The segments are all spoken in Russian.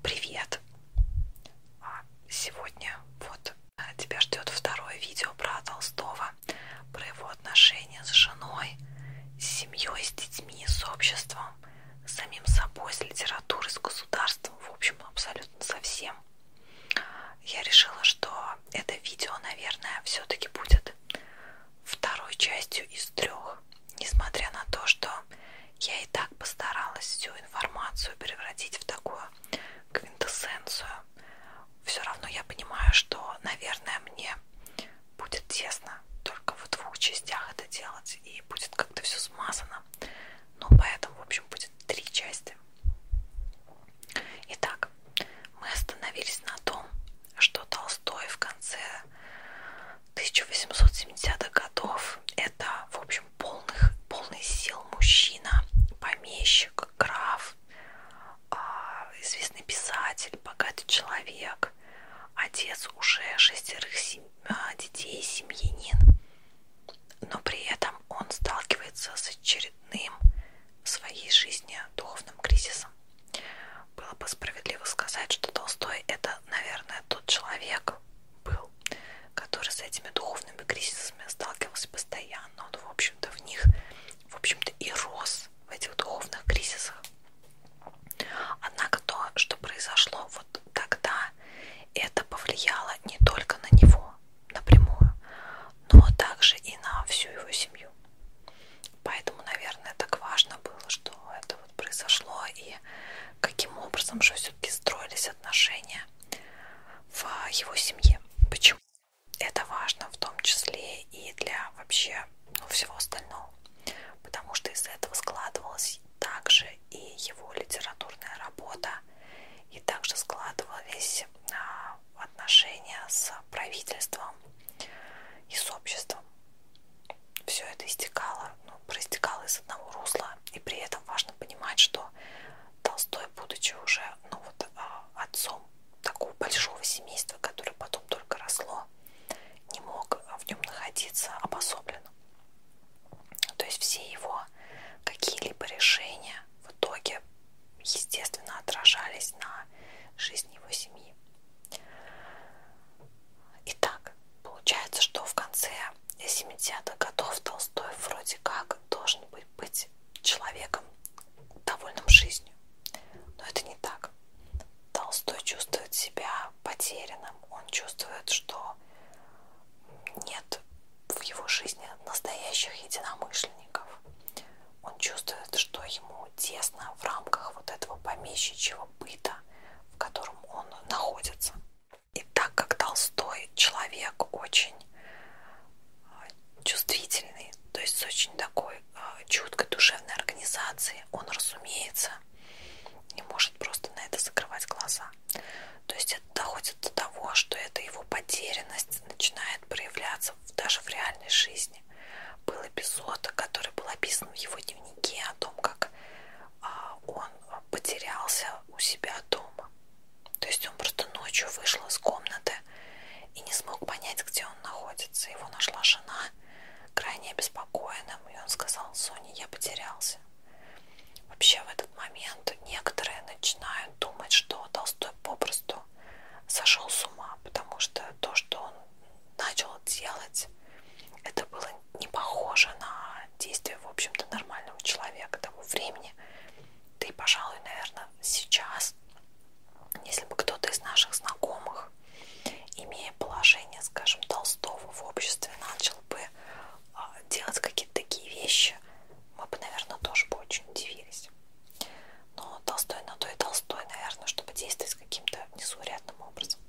Привет! А, сегодня вот э, тебя ждет второе видео про Толстого, про его отношения с женой, с семьей, с детьми, с обществом, с самим собой, с литературой, с государством, в общем, абсолютно со всем. Я решила, что это видео, наверное, все-таки будет второй частью из трех несмотря на то, что я и так постаралась всю информацию превратить в такую квинтэссенцию, все равно я понимаю, что, наверное, мне будет тесно только в двух частях это делать, и будет как-то все смазано. Ну, поэтому, в общем, будет три части. Итак, мы остановились на том, что Толстой в конце 1870-х годов. Это, в общем, полных, полный сил мужчина, помещик, граф, а, известный писатель, богатый человек, отец уже шестерых сем... А, детей, семьянин. Но при этом он сталкивается с очередным в своей жизни духовным кризисом. Было бы справедливо сказать, что Толстой это, наверное, тот человек, человек был, который с этими духовными кризисами сталкивался постоянно. Он, в общем-то, в них, в общем-то, и рос в этих духовных кризисах. Однако то, что произошло вот тогда, это повлияло не только на него напрямую, но также и на всю его семью. Поэтому, наверное, так важно было, что это вот произошло, и каким образом же все-таки строились отношения в его семье. Почему? Это важно в том числе и для вообще ну, всего остального, потому что из этого складывалась также и его литературная работа, и также складывались а, отношения с правительством и с обществом все это истекало, ну, проистекало из одного русла. И при этом важно понимать, что Толстой, будучи уже ну, вот, а, отцом такого большого семейства, которое потом только росло, не мог в нем находиться обособленно. То есть все его какие-либо решения в итоге, естественно, отражались на жизни его семьи. Итак, получается, что в конце 70-х годов Толстой вроде как должен быть, быть человеком, довольным жизнью. Но это не так. Толстой чувствует себя потерянным. Он чувствует, что нет в его жизни настоящих единомышленников. Он чувствует, что ему тесно в рамках вот этого помещичьего быта, в котором он находится. И так как Толстой человек очень э, чувствительный, то есть с очень такой э, чуткой душевной организацией, он, разумеется, не может просто на это закрывать глаза. То есть это доходит до того, что эта его потерянность начинает проявляться даже в реальной жизни. Был эпизод, который был описан в его дневнике о том, как а, он потерялся у себя дома. То есть он просто ночью вышел из комнаты и не смог понять, где он находится. Его нашла жена крайне обеспокоенным, и он сказал, Соня, я потерялся. Вообще в этот момент некоторые начинают думать, что Толстой попросту сошел с ума, потому что то, что он начал делать, это было не похоже на действие, в общем-то, нормального человека того времени. Да и, пожалуй, наверное, сейчас, если бы кто-то из наших знакомых, имея положение, скажем, Толстого в обществе, начал бы а, делать какие-то такие вещи, мы бы, наверное, тоже бы очень удивились. Но Толстой на то и Толстой, наверное, чтобы действовать каким-то несурядным образом.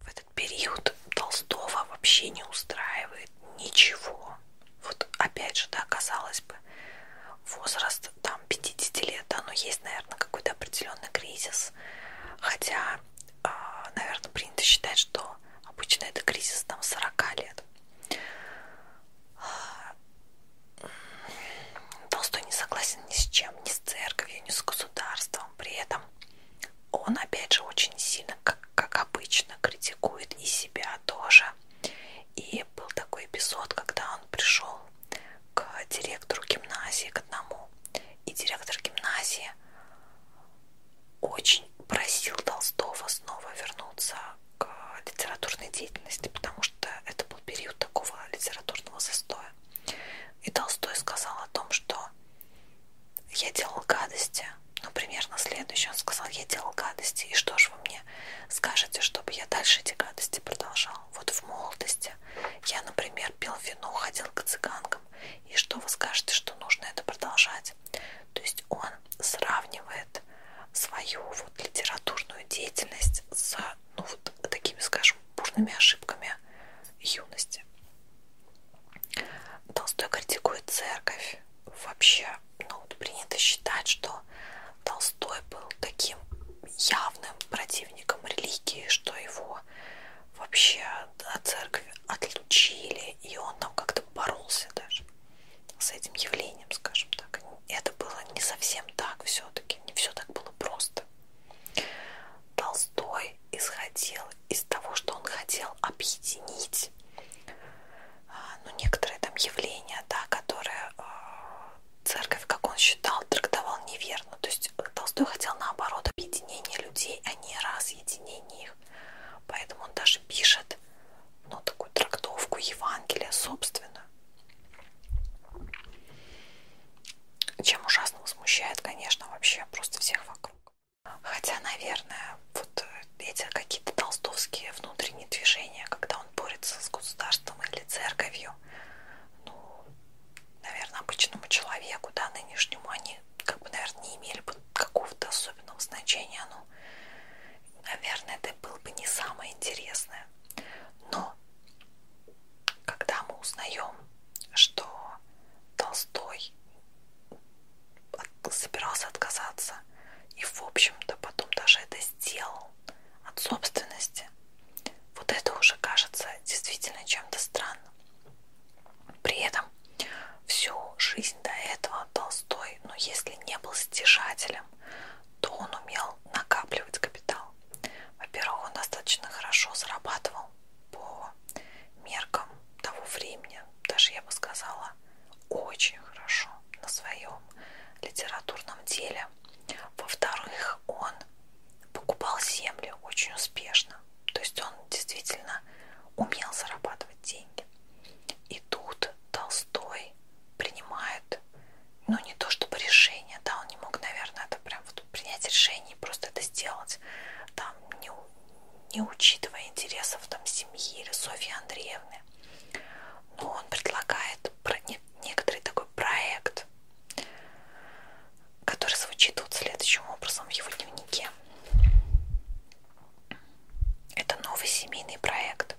В этот период Толстого вообще не устраивает ничего. Вот опять же, да, казалось бы, возраст там 50 лет, да, но есть, наверное, какой-то определенный кризис. Хотя, а, наверное, принято считать, что обычно это кризис там 40 лет. Толстой не согласен ни с чем, ни с церковью, ни с государством. При этом он опять же очень сильно, как, как обычно, критикует и себя тоже. И был такой эпизод, когда он пришел к директору гимназии, к одному. И директор гимназии очень просил Толстого снова вернуться к литературной деятельности, потому что это был период такого литературного застоя. И Толстой сказал о том, что я делал гадости. Ну, примерно следующее. Он сказал, я делал гадости. И что ж вы мне скажете, чтобы я дальше эти гадости продолжал? Вот в молодости я, например, пил вино, ходил к цыганкам. И что вы скажете, что нужно это продолжать? То есть он сравнивает свою вот литературную деятельность с ну, вот такими, скажем, бурными ошибками юности. Толстой критикует церковь. Вообще, ну, принято считать, что Толстой был таким явным противником религии, что его вообще от церкви отлучили, и он там как-то боролся даже с этим явлением, скажем так. Это было не совсем так все-таки, не все так было просто. Толстой исходил из того, что он хотел объединить, а, ну, некоторые там явления, да, которые а, церковь, как он считал, трактовал неверно. То есть Толстой хотел, наоборот, объединение людей, а не разъединение их. Поэтому он даже пишет, ну, такую трактовку Евангелия собственную. Чем ужасно возмущает, конечно, вообще просто всех вокруг. Хотя, наверное, вот э, эти какие-то толстовские внутренние движения, когда он борется с государством или церковью, ну, наверное, обычному человеку, да, нынешнему, они как бы, наверное, не имели бы какого-то особенного значения. Ну, наверное, это было бы не самое интересное. Но когда мы узнаем, что Толстой от, собирался отказаться. И, в общем-то, потом даже это сделал от собственности. Вот это уже кажется действительно чем-то странным. При этом всю жизнь до этого Толстой, но ну, если не был стяжателем, то он умел накапливать капитал. Во-первых, он достаточно хорошо зарабатывал по меркам того времени, даже я бы сказала, очень хорошо на своем литературном деле. Во-вторых, он покупал землю очень успешно. То есть он действительно умел зарабатывать деньги. И тут Толстой принимает, ну не то чтобы решение, да, он не мог, наверное, это прям вот принять решение и просто это сделать. Там не, не учитывая интересов там семьи или Софьи Андреевны. Но он предлагает некоторый такой проект, который звучит вот следующим образом в его дневнике. Это новый семейный проект.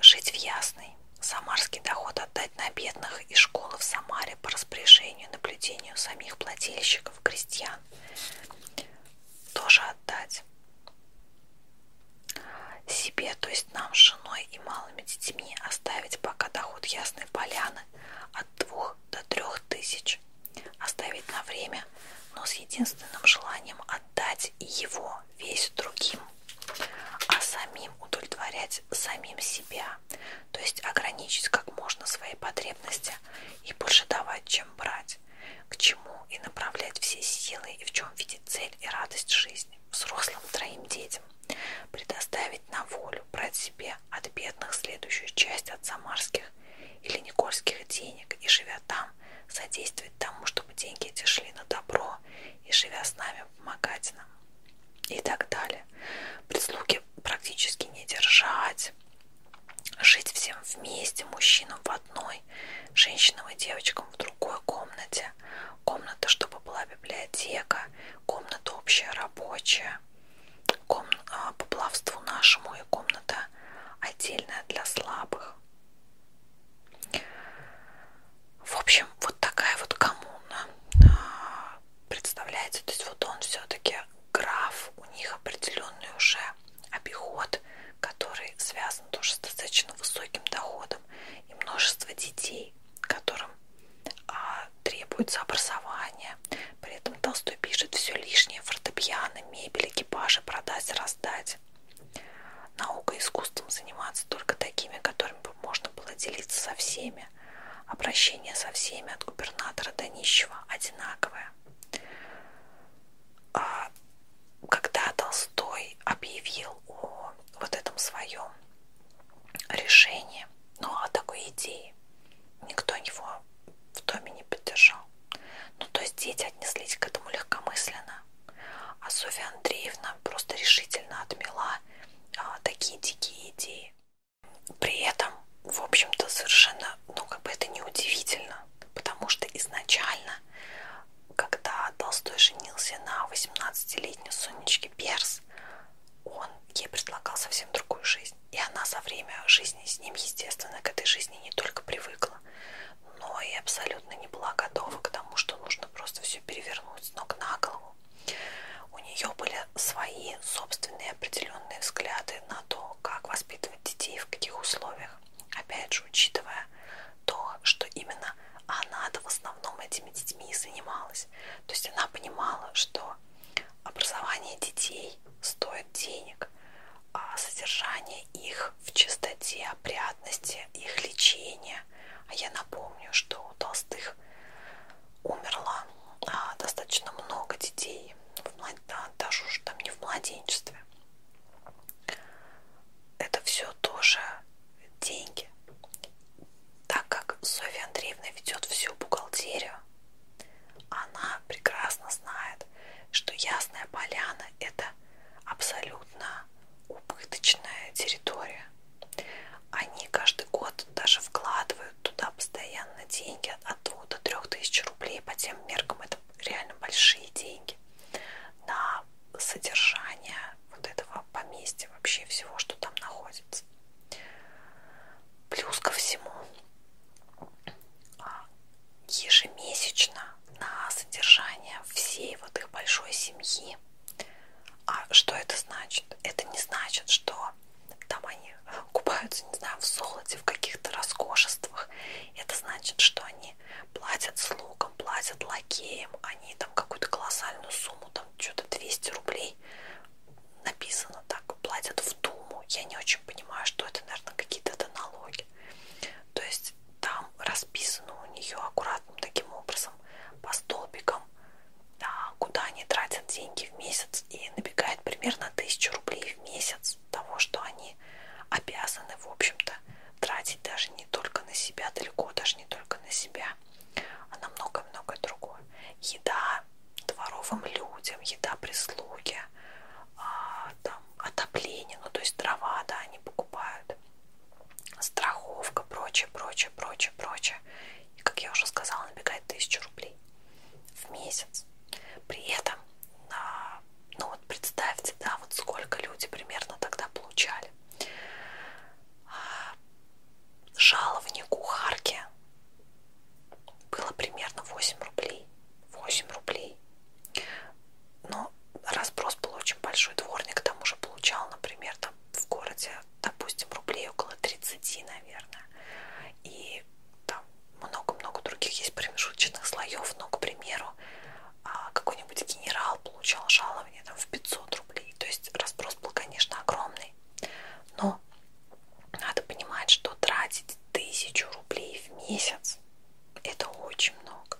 Жить в Ясной, самарский доход отдать на бедных и школы в Самаре по распоряжению и наблюдению самих плательщиков, крестьян, тоже отдать себе, то есть нам с женой и малыми детьми оставить пока доход Ясной Поляны от двух до трех тысяч, оставить на время, но с единственным желанием отдать его весь другим, а самим удовлетворять самим себя, то есть ограничить как можно свои потребности нельзя. И больше давать, чем брать. К чему и направлять все силы, и в чем видеть цель и радость жизни. Взрослым троим детям. Предоставить на волю, брать себе от бедных следующую часть от самарских или никольских денег и, живя там, содействовать тому, чтобы деньги эти шли на добро и, живя с нами, помогать нам. И так далее. Прислуги практически не держать. Жить всем вместе, мужчинам в одной, женщинам и девочкам в другой комнате. Комната, чтобы была библиотека, комната общая рабочая, ком... А, по плавству нашему и комната отдельная для слабых. В общем, вот такая вот коммуна а, представляете, то есть вот он все-таки граф, у них определенный уже обиход, который связан тоже с достаточно высоким доходом и множество детей, которым а, требуется образование. При этом Толстой пишет все лишнее, фортепиано, мебель, экипажи продать, раздать. Наука и искусством заниматься только такими, которыми можно было делиться со всеми. Обращение со всеми от губернатора до нищего одинаковое. А, когда Толстой объявил о вот этом своем решении, ну, о такой идее, никто его в доме не поддержал. Ну, то есть дети отнеслись к этому легкомысленно. А Софья Андреевна просто решительно отмела а, такие дикие идеи. При этом в общем-то, совершенно, ну, как бы это неудивительно, потому что изначально, когда Толстой женился на 18-летней Сонечке Перс, он ей предлагал совсем другую жизнь. И она за время жизни с ним, естественно, к этой жизни не только привыкла, но и абсолютно не была готова к тому, что нужно просто все перевернуть с ног на голову. У нее были свои собственные определенные взгляды взгляды на то, как воспитывать детей, в каких условиях. Опять же, учитывая то, что именно она-то в основном этими детьми и занималась. То есть она понимала, что образование детей стоит денег, а содержание их в чистоте, опрятности, их лечение. А я напомню, что у Толстых умерло а, достаточно много детей даже уже там не в младенчестве. Это все тоже деньги. Так как Софья Андреевна ведет всю бухгалтерию, она прекрасно знает, что Ясная Поляна это абсолютно убыточная территория. Они каждый год даже вкладывают туда постоянно деньги от 2 до 3 тысяч рублей. По тем меркам это реально большие деньги на содержание вот этого поместья, вообще всего, что там находится. Плюс ко всему, а, ежемесячно на содержание всей вот их большой семьи. А что это значит? Это не значит, что там они купаются, не знаю, в золоте, в каких-то роскошествах. Это значит, что они платят слугам, платят лакеям, они там какую-то колоссальную сумму, там что-то 200 рублей написано так, платят в Думу. Я не очень понимаю, что это, наверное, какие-то это налоги. То есть там расписано у нее аккуратным таким образом по столбикам, да, куда они тратят деньги в месяц и набегает примерно 1000 рублей в месяц того, что они обязаны, в общем-то, тратить даже не только на себя, далеко даже не только на себя, а на много-многое другое. Еда дворовым людям, еда прислуги, а, там, отопление, ну то есть дрова, да, они покупают, страховка, прочее, прочее, прочее, прочее. И, как я уже сказала, набегает тысячу рублей в месяц. При этом на ну вот представьте, да, вот сколько люди примерно тогда получали. А, жалование кухарки было примерно 8 рублей. 8 рублей. Но разброс был очень большой. Дворник к тому же получал, например, там в городе, допустим, рублей около 30, наверное. И там много-много других есть промежуточных слоев, но, к примеру, а, какой-нибудь генерал получал жалование там, в 500 рублей. То есть разброс был, конечно, огромный. Но надо понимать, что тратить тысячу рублей в месяц это очень много.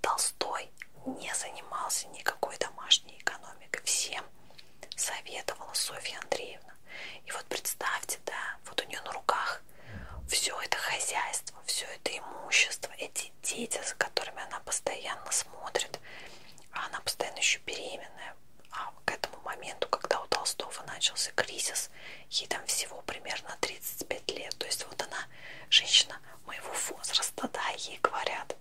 Толстой не занимался никакой домашней экономикой. Всем советовала Софья Андреевна. И вот представьте, да, вот у нее на руках все это хозяйство, все это имущество, эти дети, за которыми она постоянно смотрит, а она постоянно еще беременная. А к этому моменту, когда у Толстого начался кризис, ей там всего примерно 35 лет. То есть вот она, женщина моего возраста, да, ей говорят,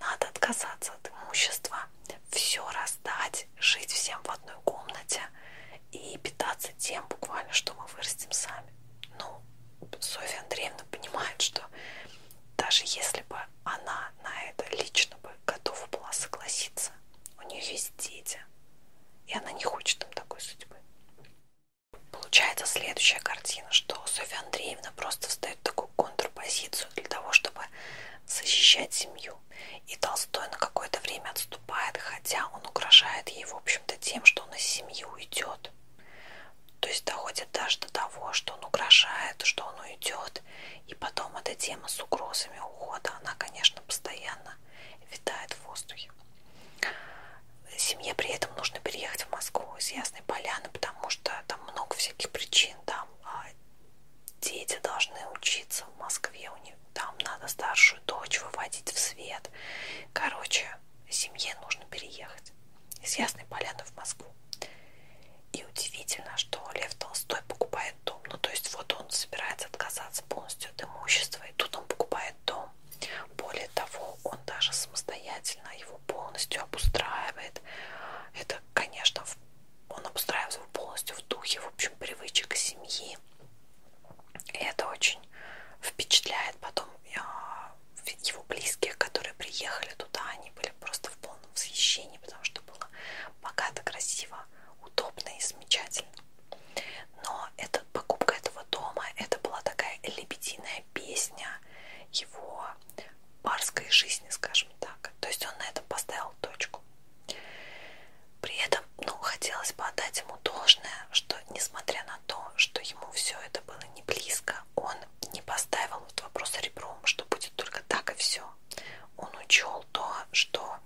надо отказаться от имущества, все раздать, жить всем в одной комнате и питаться тем буквально, что мы вырастим сами. Ну, Софья Андреевна понимает, что даже если бы она на это лично бы готова была согласиться, у нее есть дети, и она не хочет им такой судьбы. Получается следующая картина, что Софья Андреевна просто встает в такую контрпозицию для того, чтобы защищать семью. И Толстой на какое-то время отступает, хотя он угрожает ей, в общем-то, тем, что он из семьи уйдет. То есть доходит даже до того, что он угрожает, что он уйдет. И потом эта тема с угрозами ухода, она, конечно, постоянно витает в воздухе. Семье при этом нужно переехать в Москву из Ясной Поляны, потому что там много всяких причин. Там а, дети должны учиться в Москве, у них там надо старшую дочь выводить в свет. Короче, семье нужно переехать из Ясной Поляны в Москву. И удивительно, что Лев Толстой покупает дом. Ну, то есть, вот он собирается отказаться полностью от имущества, и тут он покупает дом. Более того, он даже самостоятельно его полностью обустраивает. Это, конечно, он обустраивается полностью в духе, в общем, привычек семьи. И это очень впечатляет потом а, его близких, которые приехали туда, они были просто в полном восхищении, потому что было богато, красиво, удобно и замечательно. Но эта покупка этого дома, это была такая лебединая песня его барской жизни, скажем так. То есть он на этом поставил точку. При этом, ну, хотелось бы отдать ему должное, что, несмотря на то, что ему все это было не близко, он не поставил этот вопрос ребром, что будет только так и все. Он учел то, что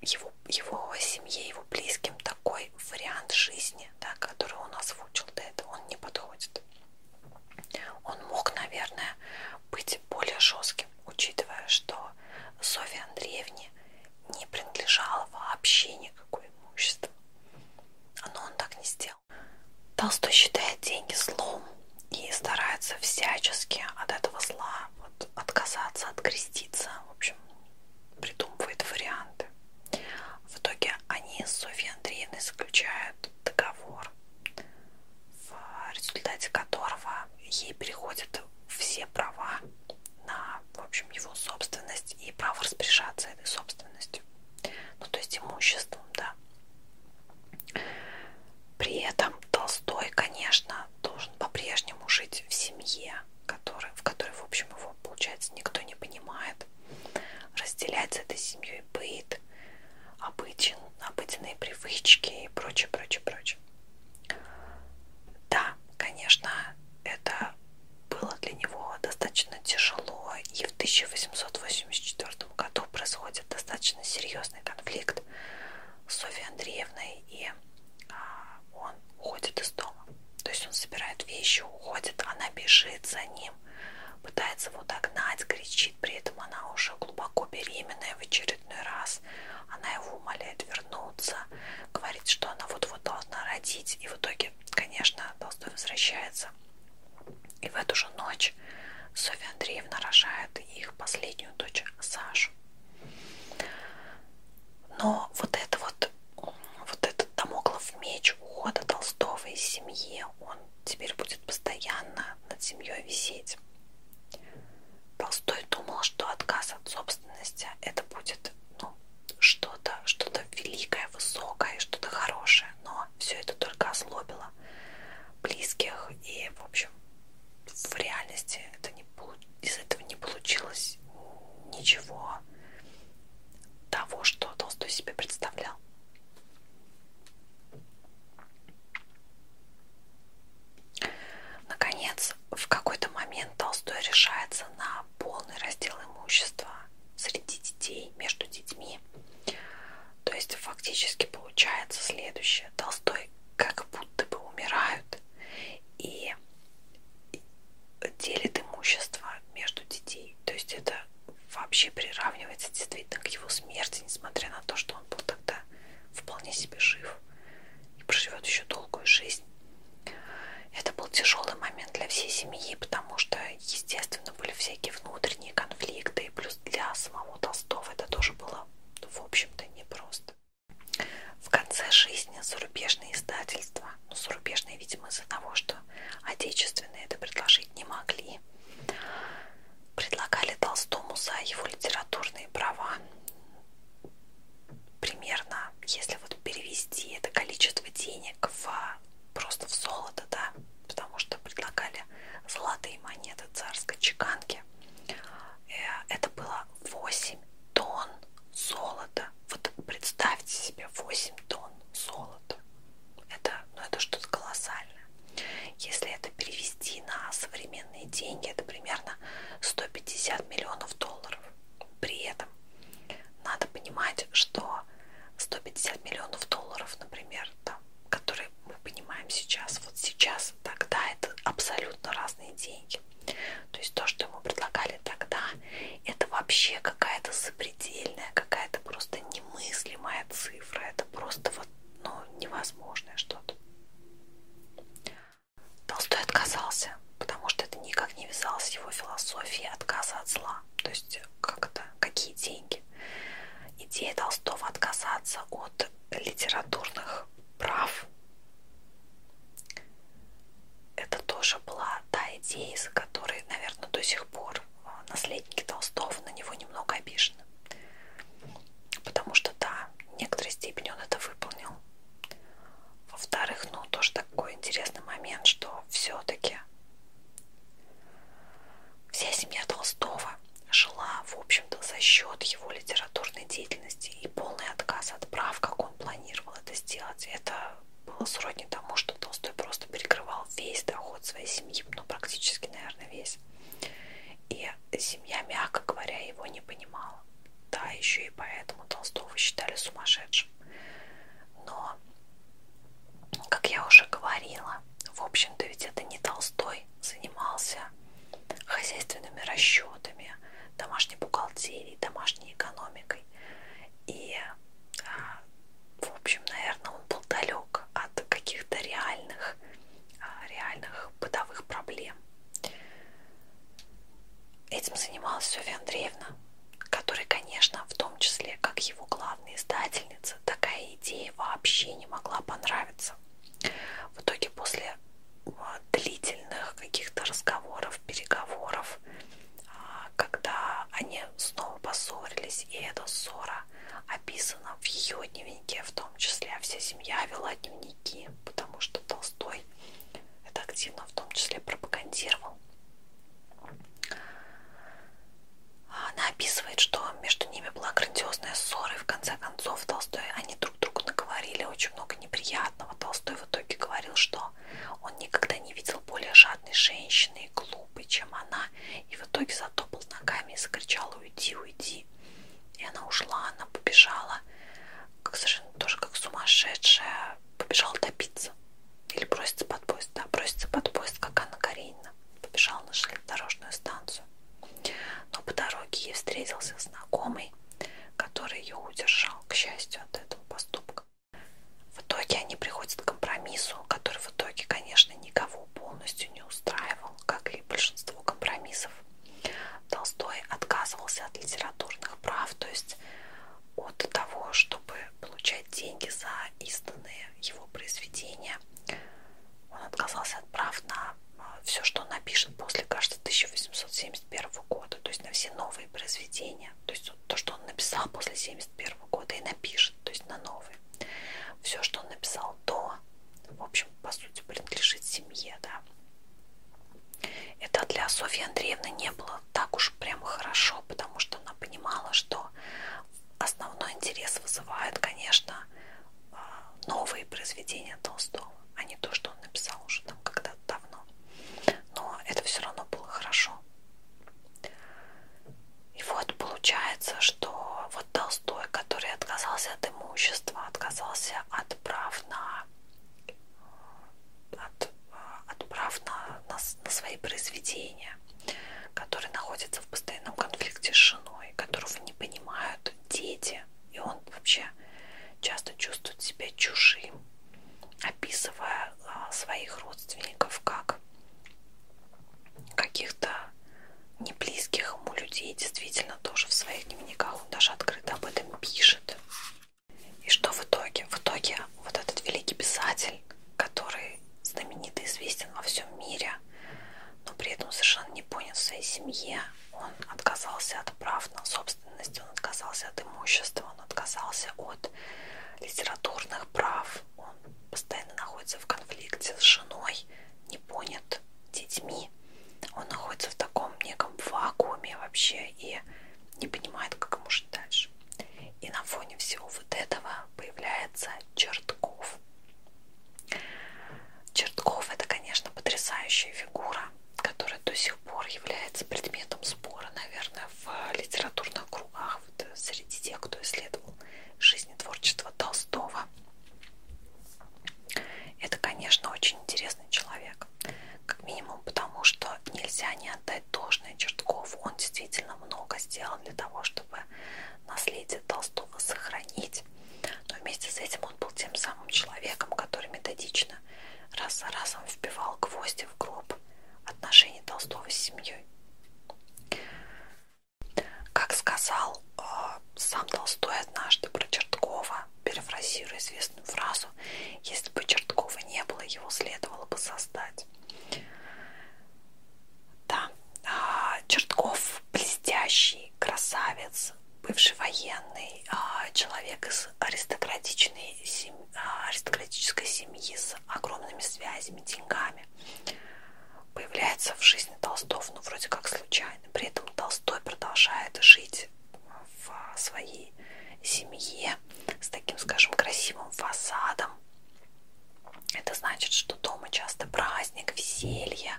его, его семье, его близким такой вариант жизни, да, который он озвучил до этого, он не подходит. Он мог, наверное, быть более жестким, учитывая, что Софье Андреевне не принадлежало вообще никакое имущество. Но он так не сделал. Толстой считает деньги злом и старается всячески от этого зла вот, отказаться, откреститься. В общем, придумывает варианты. В итоге они с Софьей Андреевной заключают договор, в результате которого ей переходят все права на, в общем, его собственность и право распоряжаться этой собственностью, ну, то есть имуществом, да. При этом Толстой, конечно, должен по-прежнему жить в семье, который, в которой, в общем, его, получается, никто не понимает, разделять с этой семьей быт, обычен, обыденные привычки и прочее, прочее, прочее. Да, конечно, это было для него достаточно тяжело, и в 1884 году происходит достаточно серьезный конфликт с Софьей Андреевной, и а, он уходит из дома. То есть он собирает вещи, уходит, она бежит за ним, пытается его догнать, кричит, при этом она уже глубоко беременная в очередной раз. Она его умоляет вернуться, говорит, что она вот его должна родить. И в итоге, конечно, Толстой возвращается. И в эту же ночь Софья Андреевна рожает их последнюю дочь Сашу. Но вот это вот, вот этот домоклов меч ухода Толстого из семьи, он теперь будет постоянно над семьей висеть. Толстой думал, что отказ от собственности это будет ну, что-то, что-то великое, высокое, что-то хорошее, но все это только ослабило близких и, в общем, в реальности это не, из этого не получилось ничего того, что Толстой себе представлял. Наконец, в какой-то момент Толстой решается на полный раздел имущества среди детей, между детьми. То есть фактически получается следующее. Толстой как будто бы умирают и делит имущество между детей. То есть это вообще приравнивается действительно к его смерти, несмотря на то, что он был тогда вполне себе жив и проживет еще долгую жизнь. Это был тяжелый момент для всей семьи, потому что, естественно, были всякие внутренние конфликты, и плюс для самого Толстого это тоже было, в общем-то, непросто. В конце жизни зарубежные издательства, ну, зарубежные, видимо, из-за того, что отечественные это предложить не могли, предлагали Толстому за его литературные права примерно, если вот перевести это количество денег в, просто в золото, да, потому что предлагали золотые монеты царской чеканки, э, это было 8 тонн золота. Вот представьте себе 8 тонн золота. Это, ну, это что-то колоссальное. Если это перевести на современные деньги, это примерно 150 миллионов долларов. При этом надо понимать, что 150 миллионов долларов, например, там, которые мы понимаем сейчас, вот сейчас, тогда это абсолютно разные деньги. То есть то, что ему предлагали тогда, это вообще какая-то запредельная, какая-то просто немыслимая цифра. Это просто вот, ну, невозможное что-то. Толстой отказался, потому что это никак не вязалось с его философией отказа от зла. То есть как это, какие деньги? Идея Толстого отказаться от литературных прав. Это тоже была та идея, из-за которой, наверное, до сих пор а, наследники Толстого на него немного обижены. Потому что, да, в некоторой степени он это выполнил. Во-вторых, ну тоже такой интересный момент, что все-таки вся семья Толстого жила, в общем-то, за счет его литературной деятельности и полный отказ от прав, как он планировал это сделать, это было сродни тому, что Толстой просто перекрывал весь доход своей семьи, ну, практически, наверное, весь. И семья, мягко говоря, его не понимала. Да, еще и поэтому Толстого считали сумасшедшим. Но, как я уже говорила, в общем-то ведь это не Толстой занимался хозяйственными расчетами, домашней бухгалтерией, домашней экономикой. И, а, в общем, наверное, он был далек от каких-то реальных, а, реальных бытовых проблем. Этим занималась Софья Андреевна, которой, конечно, в том числе как его главной издательнице, такая идея вообще не могла понравиться. В итоге после а, длительных каких-то разговоров, переговоров, а, когда они снова поссорились, и эта ссора описана в ее дневнике, в том числе а вся семья вела дневники, потому что Толстой это активно в том числе пропагандировал. Она описывает, что между ними была грандиозная ссора, и в конце концов Толстой они друг другу наговорили очень много неприятного. Толстой в итоге говорил, что он никогда не видел более жадной женщины и глупой, чем она, и в итоге затопал ногами и закричал «Уйди, уйди!». И она ушла, она побежала, как совершенно тоже как сумасшедшая, побежала топиться. Или бросится под поезд. Да, бросится под поезд, как Анна Каренина. Побежал на железнодорожную станцию. Но по дороге ей встретился знакомый, который ее удержал, к счастью, от этого поступка. В итоге они приходят к компромиссу, который в итоге, конечно, никого полностью не устраивал, как и большинство компромиссов. Толстой отказывался от литературных прав, то есть от того, чтобы получать деньги за изданные его произведения. Он отказался от прав на а, все, что он напишет после, кажется, 1871 года, то есть на все новые произведения, то есть то, что он написал после 1971 года и напишет, то есть на новые. Все, что он написал до, в общем, по сути, принадлежит семье, да. Это для Софьи Андреевны не было так уж прям хорошо, потому что она понимала, что основной интерес вызывает, конечно, а, новые произведения Толстого, а не то, что он написал уже там когда-то давно. Но это все равно было хорошо. И вот получается, что вот Толстой, который отказался от имущества, отказался от прав на от, отправ на, на, на свои произведения, которые находятся в постоянном конфликте с женой, которого не понимают дети, и он вообще часто чувствует себя чужим, описывая а, своих родственников как каких-то неблизких ему людей, действительно тоже в своих дневниках он даже открыто об этом пишет. И что в итоге? В итоге вот этот великий писатель, который знаменит и известен во всем мире, но при этом совершенно не понят в своей семье, он отказался от прав на собственность, он отказался от имущества, он отказался от литературных прав, он постоянно находится в конфликте с женой, не понят детьми, он находится в таком неком вакууме вообще и не понимает, как ему жить дальше. И на фоне всего вот этого появляется Чертков. Чертков это, конечно, потрясающая фигура, которая до сих пор является предметом спора, наверное, в литературных кругах, вот, среди тех, кто исследовал жизнь и творчество Толстого. Это, конечно, очень интересный человек как минимум потому, что нельзя не отдать должное Чертков. Он действительно много сделал для того, чтобы наследие Толстого сохранить. Но вместе с этим он был тем самым человеком, который методично раз за разом вбивал гвозди в гроб отношений Толстого с семьей. Как сказал э, сам Толстой однажды про Черткова, перефразируя известную фразу, если бы Черткова не было, его следовало бы создать есть. Да, а, Чертков блестящий, красавец, бывший военный, а, человек из аристократичной семьи, а, аристократической семьи с огромными связями, деньгами. Появляется в жизни Толстого, ну, вроде как случайно. При этом Толстой продолжает жить в своей семьи, семье с таким, скажем, красивым фасадом. Это значит, что дома часто праздник, веселье,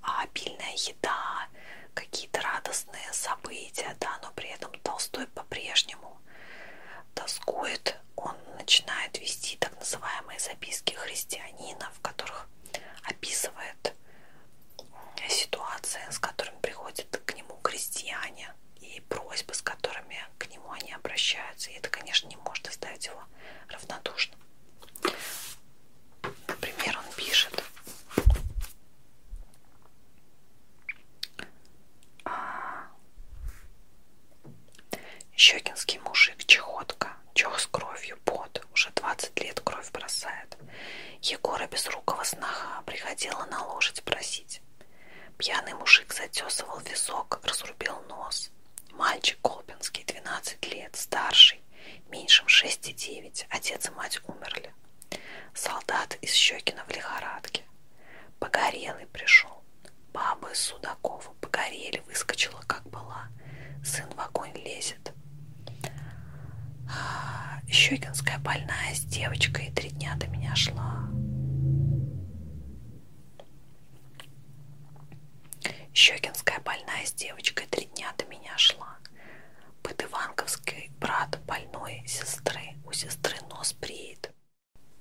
а обильная еда, какие-то радостные события, да, но при этом Толстой по-прежнему тоскует, он начинает вести так называемые записки христианина, в которых описывает ситуации, с которыми приходят к нему крестьяне, и просьбы, с которыми к нему они обращаются. И это, конечно, не может оставить его равнодушным. Например, он пишет. «А, щекинский мужик, чехотка, чех с кровью, пот, уже 20 лет кровь бросает. Егора Безрукова снаха приходила на лошадь просить. Пьяный мужик затесывал висок, разрубил нос. Мальчик Колпинский, 12 лет, старший, меньшим 6 и 9, отец и мать умерли. Солдат из Щекина в лихорадке. Погорелый пришел. Баба из Судакова погорели, выскочила, как была. Сын в огонь лезет. Щекинская больная с девочкой три дня до меня шла. Щекинская больная с девочкой три дня до меня шла. Подыванковский брат больной сестры. У сестры нос бреет.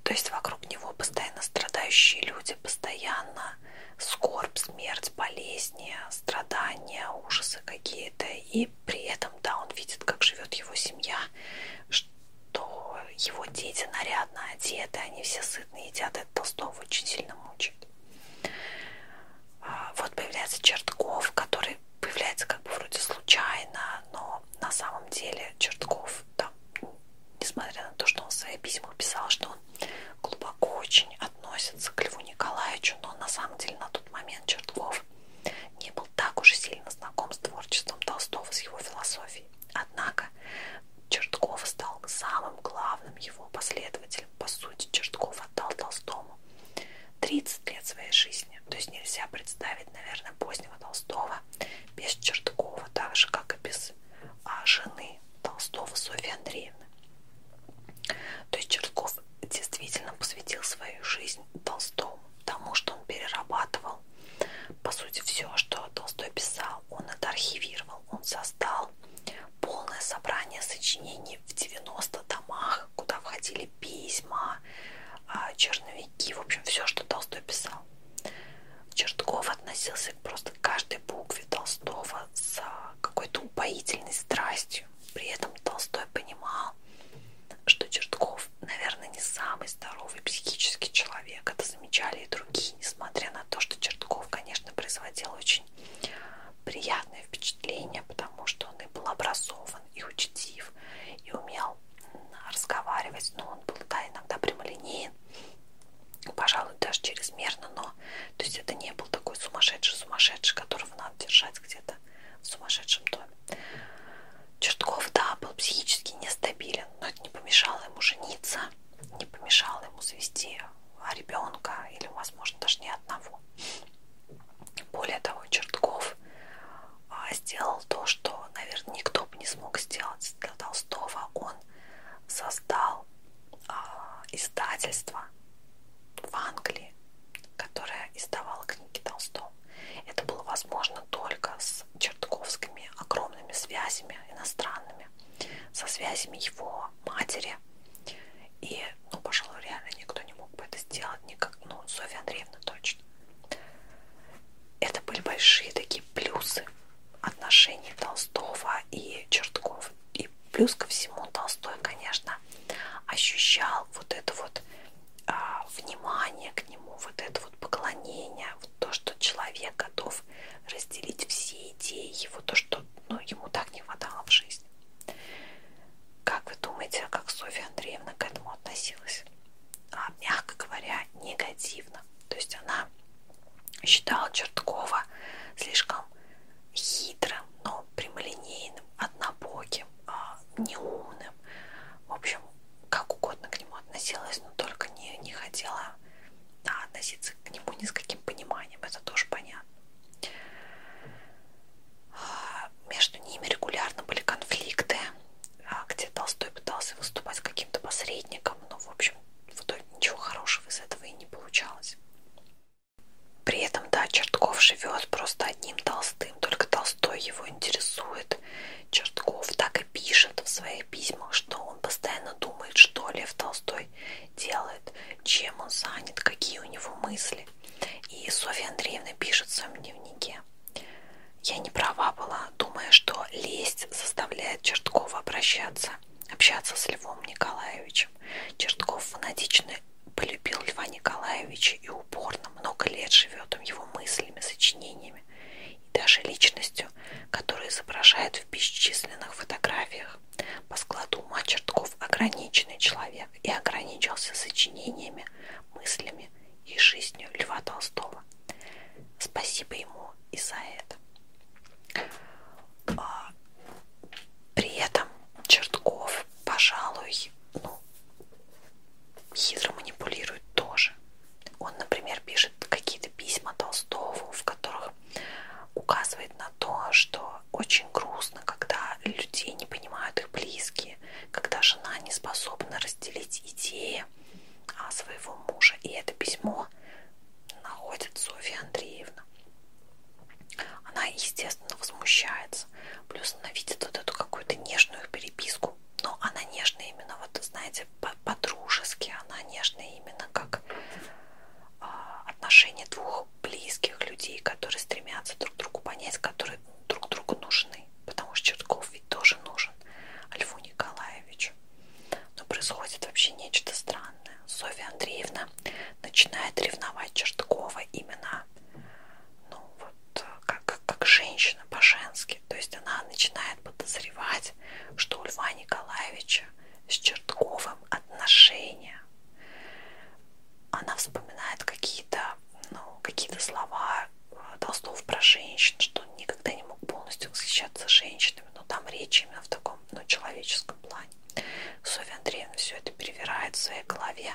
То есть вокруг него постоянно страдающие люди, постоянно скорбь, смерть, болезни, страдания, ужасы какие-то. И при этом, да, он видит, как живет его семья, то его дети нарядно одеты, они все сытные едят, это Толстого очень сильно мучает. А, вот появляется Чертков, который появляется как бы вроде случайно, но на самом деле Чертков, там, несмотря на то, что он в своих письмах писал, что он глубоко очень относится к Льву Николаевичу, но на самом деле на тот момент Чертков не был так уже сильно знаком с творчеством Толстого, с его философией. Однако Чертков стал самым главным его последователем. По сути, Чертков отдал Толстому 30 лет своей жизни. То есть нельзя представить, наверное, позднего Толстого без Черткова, так же, как и без а, жены Толстого Софьи Андреевны. То есть Чертков действительно посвятил свою жизнь Толстому тому, что он перерабатывал. По сути, все, что Толстой писал, он это архивировал. Он создал полное собрание сочинений в 90 томах, куда входили письма, а, черновики, в общем, все, что Толстой писал. Чертков относился просто к каждой букве Толстого с какой-то упоительной страстью. При этом Толстой понимал, что Чертков Песков, наверное, не самый здоровый психический человек. Это замечали и другие, несмотря на то, что Чертков, конечно, производил очень приятное впечатление, потому что он и был образован, и учтив, и умел разговаривать, но он был, да, иногда прямолинеен, пожалуй, даже чрезмерно, но то есть это не был такой сумасшедший-сумасшедший, которого надо держать где-то в сумасшедшем доме. Чертков, да, был психически нестабилен, но это не помешало ему жениться, не помешало ему завести а, ребенка или, возможно, даже не одного. Более того, Чертков а, сделал то, что, наверное, никто бы не смог сделать для Толстого. Он создал а, издательство в Англии, которое издавало книги Толстого. Это было возможно только с чертковскими огромными связями иностранными, со связями его матери. И, ну, пожалуй, реально никто не мог бы это сделать, никак, ну, Софья Андреевна точно. Это были большие такие плюсы отношений Толстого и Чертков. И плюс ко всему Толстой, конечно, ощущал вот эту вот а, внимание к нему, вот это вот поклонение, вот то, что человек готов разделить все идеи его, то, что ну, ему так не хватало в жизни. Как вы думаете, а как Софья Андреевна к этому относилась? А, мягко говоря, негативно. То есть она считала Черткова слишком хитрым, но прямолинейным, однобоким, а, неумным сильным. В общем, как угодно к нему относилась, но только не, не хотела да, относиться к нему ни с каким пониманием. Это тоже понятно. А, между ними регулярно были конфликты, а, где Толстой пытался выступать каким-то посредником, но, в общем, в итоге ничего хорошего из этого и не получалось. При этом, да, Чертков живет просто одним Толстым, только Толстой его интересует, Чертков так и пишет в своих письмах, что он постоянно думает, что Лев Толстой делает, чем он занят, какие у него мысли. И Софья Андреевна пишет в своем дневнике. Я не права была, думая, что лесть заставляет Черткова обращаться, общаться с Львом Николаевичем. Чертков фанатично полюбил Льва Николаевича и упорно много лет живет им его мыслями, сочинениями и даже личностью, которую изображает в бесчисленных фотографиях. По складу ума Чертков ограниченный человек и ограничился сочинениями, мыслями и жизнью Льва Толстого. Спасибо ему и за это. А, при этом Чертков, пожалуй, ну, хитро манипулирует тоже. Он, например, пишет какие-то письма Толстого, в которых указывает на то, что очень грустно, когда людей не понимают их близкие, когда жена не способна разделить идеи а, своего мужа. И это письмо находит Софья Андреевна. Она, естественно, возмущается. Плюс она видит вот эту какую-то нежную переписку. Но она нежная именно, вот знаете, сказать, по-дружески, она нежная именно как а, отношения двух близких людей, которые стремятся друг другу понять, которые друг другу нужны, потому что Чертков ведь тоже нужен Льву Николаевичу. Но происходит вообще нечто странное. Софья Андреевна начинает ревновать Черткова именно ну, вот, как, как женщину женщина по-женски, то есть она начинает подозревать, что у Льва Николаевича с Чертковым отношения. Она вспоминает какие-то ну, какие-то слова э, Толстого про женщин, что он никогда не мог полностью восхищаться женщинами, но там речь именно в таком ну, человеческом плане. Софья Андреевна все это перевирает в своей голове,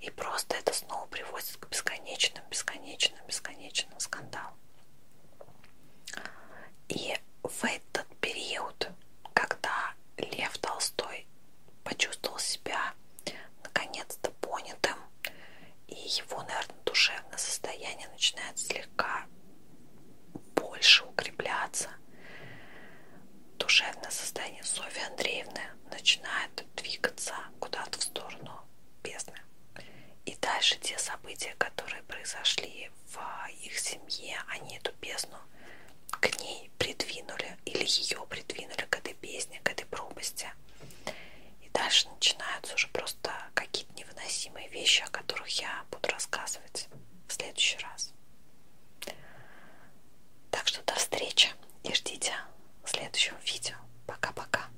и просто это снова приводит к бесконечным, бесконечным, бесконечным скандалам. И в этот период, когда Лев Толстой почувствовал себя наконец-то понятым, и его, наверное, душевное состояние начинает слегка больше укрепляться, душевное состояние Софьи Андреевны начинает двигаться куда-то в сторону бездны. И дальше те события, которые произошли в их семье, они эту песню к ней придвинули или ее придвинули к этой песне, к этой пропасти. И дальше начинаются уже просто какие-то невыносимые вещи, о которых я буду рассказывать в следующий раз. Так что до встречи и ждите следующего видео. Пока-пока.